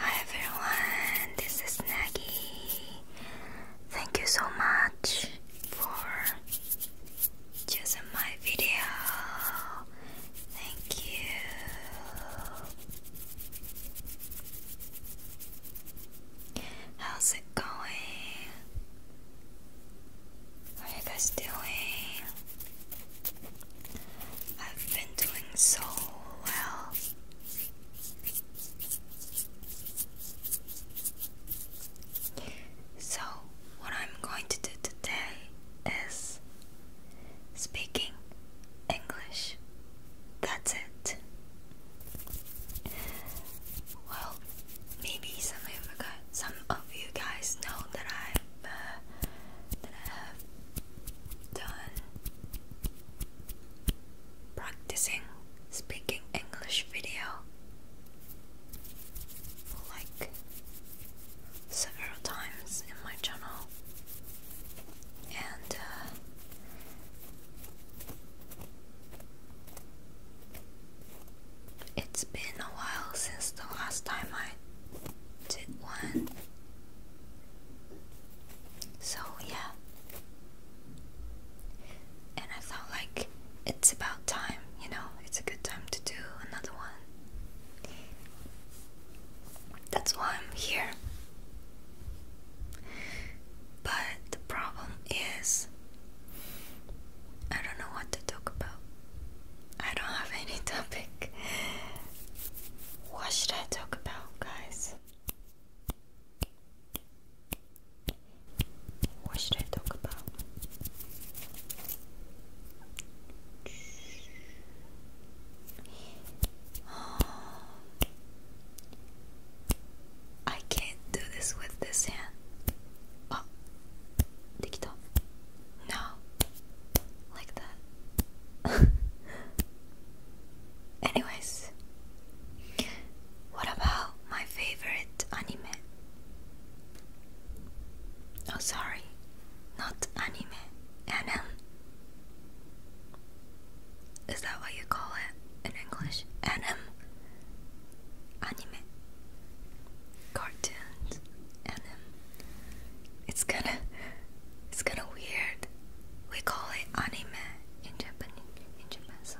Hi everyone, this is Nagi. Thank you so much for choosing my video. Thank you. How's it going? How are you guys doing? I've been doing so well. So, what I'm going to do today is speaking English. That's it. Well, maybe some of you guys, some of you guys know that I've uh, done practicing speaking English video like several times in my channel and uh, it's been a while since the last time I did one. So, yeah. And I thought, like, it's about time, you know, it's a good time to do another one. That's why I'm here. But the problem is, I don't know what to talk about. I don't have any topic. What should I talk about, guys? What should I talk about? I can't do this with this hand. Oh. できた No Like that Anyways What about my favorite anime? Oh sorry Not anime Anim Is that what you call it in English? Anim anime, cartoons, and um, it's kinda, it's kinda weird. We call it anime in Japan. In Japan, so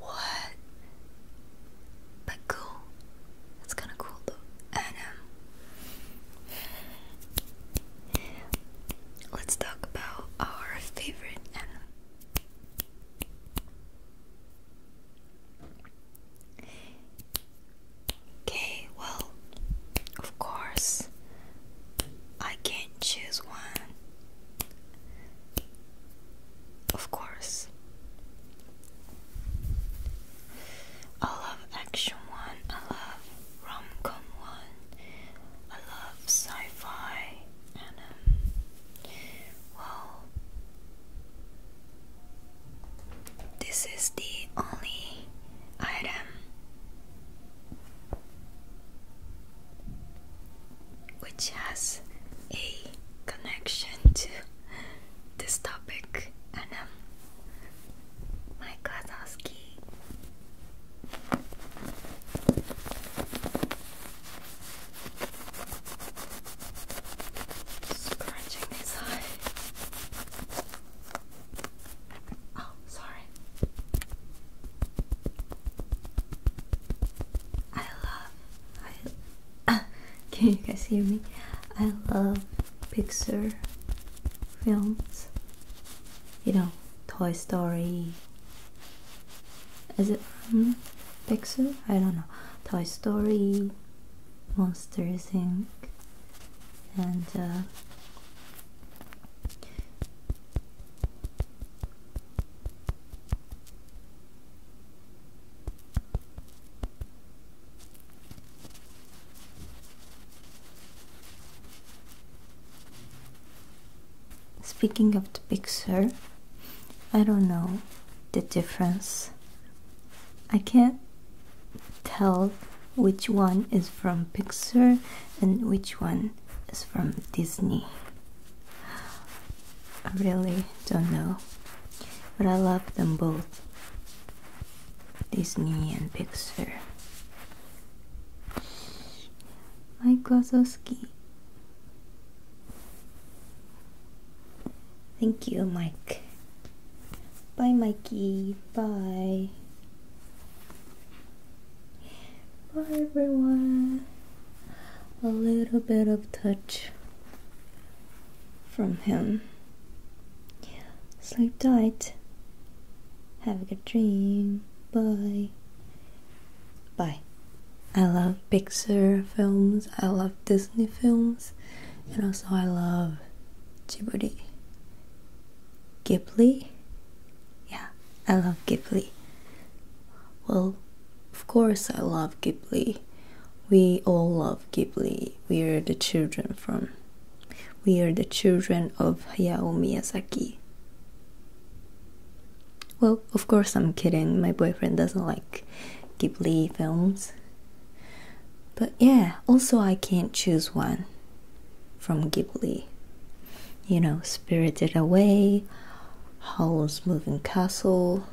what? But cool. It's kinda cool though. Um, let's talk about our favorite anime. Okay, well, of course, I can't choose one. Of course, I love action one, I love rom com one, I love sci fi, and um, well. This is the only item which has a connection to this topic, and um, my Scratching his eye. Oh, sorry. I love. can you guys hear me? I love Pixar films. You know, Toy Story. Is it Pixar? I don't know. Toy Story, Monsters Inc., and uh, Speaking of the Pixar, I don't know the difference I can't tell which one is from Pixar and which one is from Disney. I really don't know, but I love them both Disney and Pixar. Mike Wazowski. Thank you, Mike. Bye, Mikey. Bye. Bye, everyone. A little bit of touch from him. Sleep tight. Have a good dream. Bye. Bye. I love Pixar films. I love Disney films. And also, I love Djibouti. Ghibli? Yeah, I love Ghibli. Well, of course, I love Ghibli. We all love Ghibli. We are the children from. We are the children of Hayao Miyazaki. Well, of course, I'm kidding. My boyfriend doesn't like Ghibli films. But yeah, also I can't choose one from Ghibli. You know, Spirited Away, Howl's Moving Castle,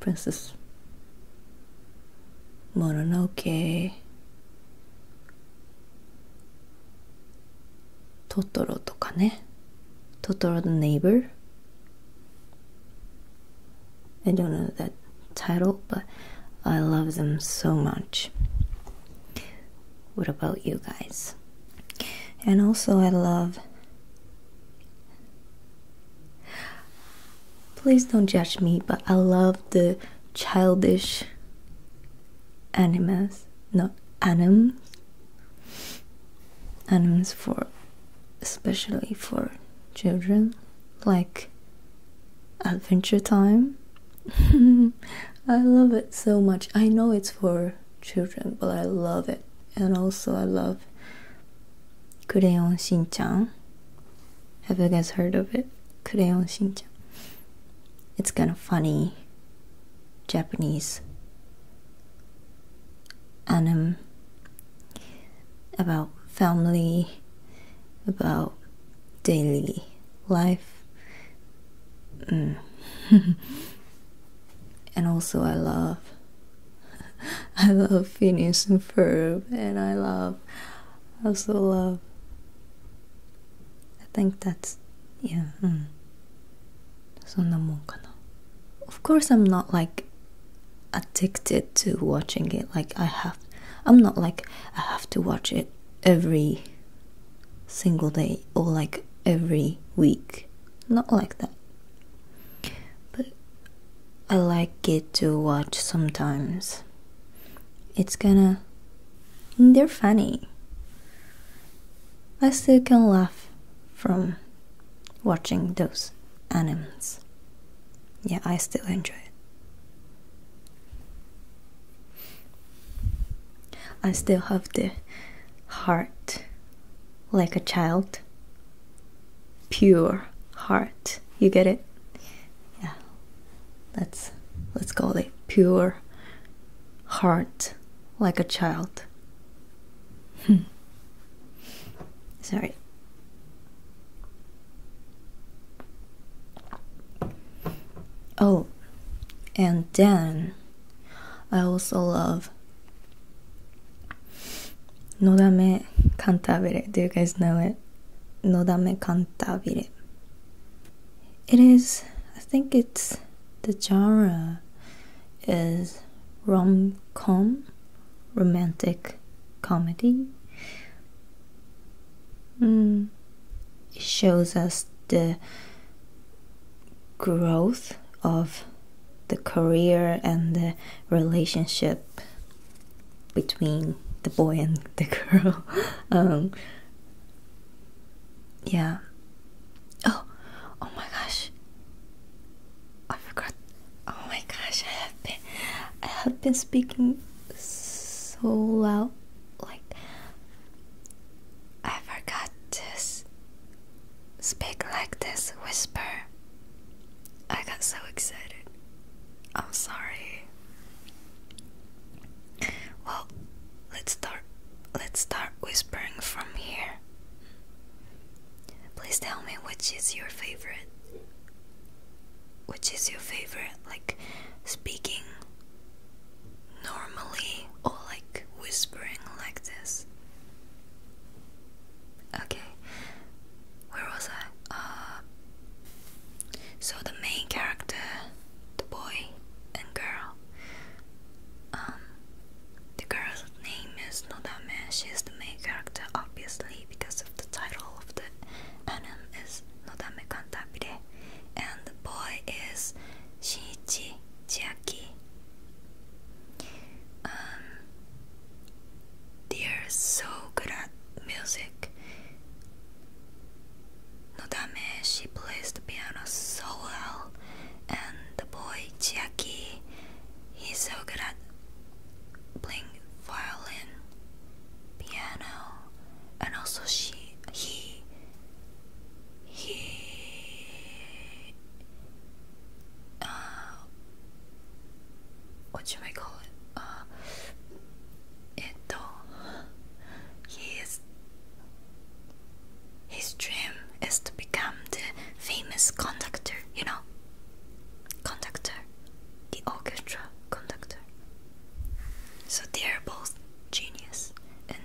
Princess Mononoke, Totoro とかね Totoro the Neighbor I don't know that title, but I love them so much. What about you guys? And also, I love. Please don't judge me, but I love the childish Animas, not animals. Animals for especially for children, like Adventure Time. I love it so much. I know it's for children, but I love it. And also, I love Shin-chan. Have you guys heard of it? Shin-chan. It's kind of funny Japanese anime about family, about daily life. Mm. and also, I love. I love Phineas and Ferb, and I love, I also love. I think that's, yeah, mm. Of course, I'm not like addicted to watching it like i have i'm not like i have to watch it every single day or like every week not like that but i like it to watch sometimes it's gonna they're funny i still can laugh from watching those animals yeah, I still enjoy it. I still have the heart like a child. Pure heart. You get it? Yeah. Let's let's call it pure heart like a child. Hmm. Sorry. Oh, and then I also love No Dame Cantabile. Do you guys know it? No Dame Cantabile. It is, I think it's the genre is rom com, romantic comedy mm. it shows us the growth of the career and the relationship between the boy and the girl um, yeah oh oh my gosh I forgot. Oh my gosh, I have been, I have been speaking so loud, like I forgot to speak like this, whisper. I got so excited. I'm sorry. Well, let's start. Let's start whispering from here. Please tell me which is your favorite. Which is your favorite? Like speaking normally or like whispering like this? Okay, where was I? Uh, so the main character, the boy and girl. Um, the girl's name is Nodame. She the main character, obviously, because the title of the anime is Nodame Cantabile, and the boy is Shinichi Chiaki. Um, they are so good at music. Nodame, she plays the piano so well, and the boy Chiaki, he's so good at playing violin, piano, and also she, he, he, uh, what should I call it? Uh, Eto, he is. His dream is to become the famous conductor, you know? Conductor the orchestra conductor. So they are both genius and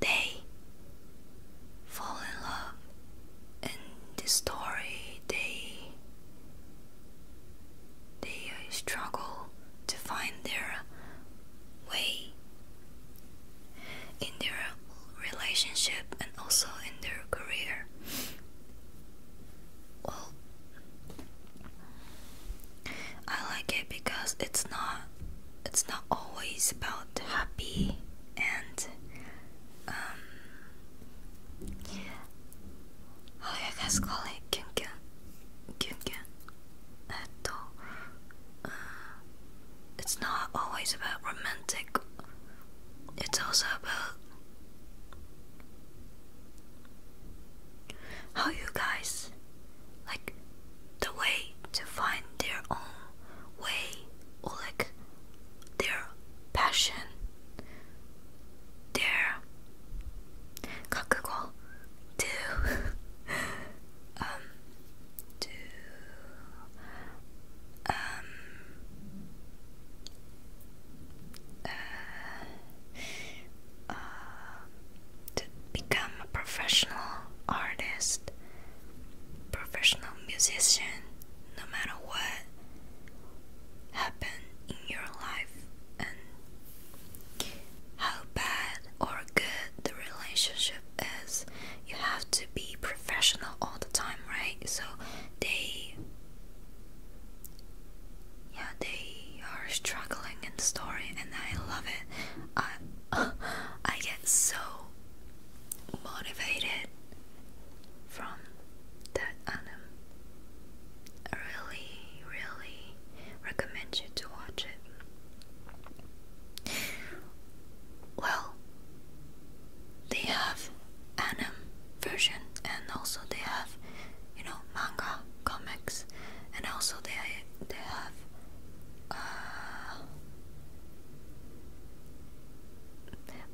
they fall in love and the story they they struggle to find their way in their relationship and also in their career well, I like it because it's not it's not always about happy and um how you guys call it kyun kyun uh, it's not always about romantic it's also about how you guys like the way to find their own way or like their passion their kakugo to um to um uh, uh, to become a professional artist, professional musician, no matter what happened in your life and how bad or good the relationship is, you have to be professional all the time, right? So they yeah, they are struggling in the story, and I love it. I I get so motivated from that anime. I really, really recommend you to watch it. Well, they have anime version and also they have you know manga comics and also they they have uh,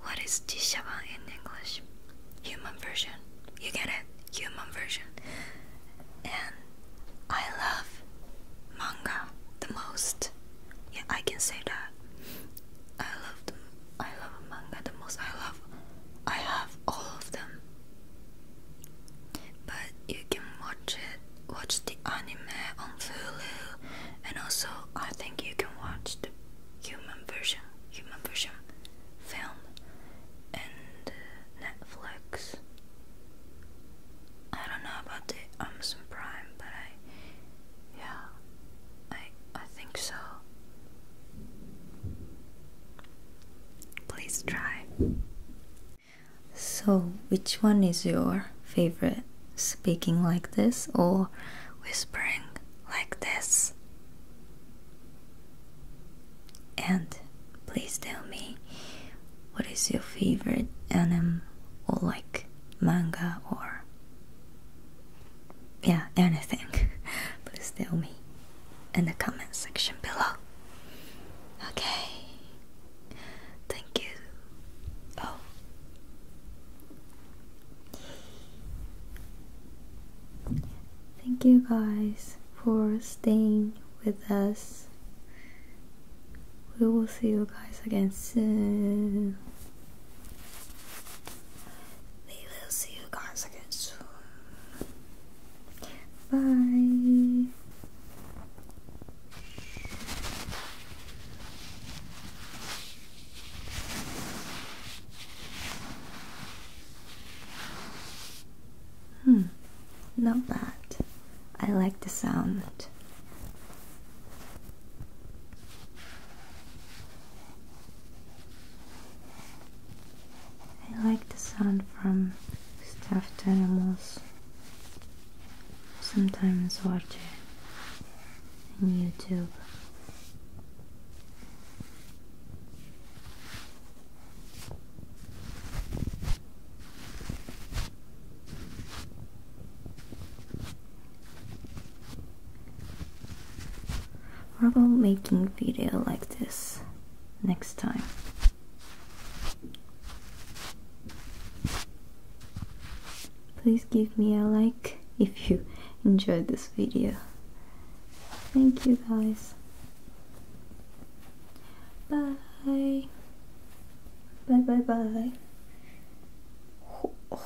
what is Tishaban in English? Human version. You get it? Human version. And I love manga the most. Yeah, I can say that. I love them. I love manga the most. I love. I have all of them. But you can watch it. Watch the anime on Hulu, and also I think you can watch the human version. Human version film and Netflix. I don't know about the Amazon Prime, but I, yeah, I I think so. Please try. So, which one is your favorite? Speaking like this or whispering like this? And please tell me what is your favorite anime or like manga or yeah, anything, please tell me in the comment section below. Okay, thank you. Oh, thank you guys for staying with us. We will see you guys again soon. We will see you guys again soon. Bye. Hmm, not bad. I like the sound. I like the sound from stuffed animals. Sometimes watch it on YouTube. What about making video like this next time? Please give me a like if you enjoyed this video. Thank you guys. Bye. Bye bye bye.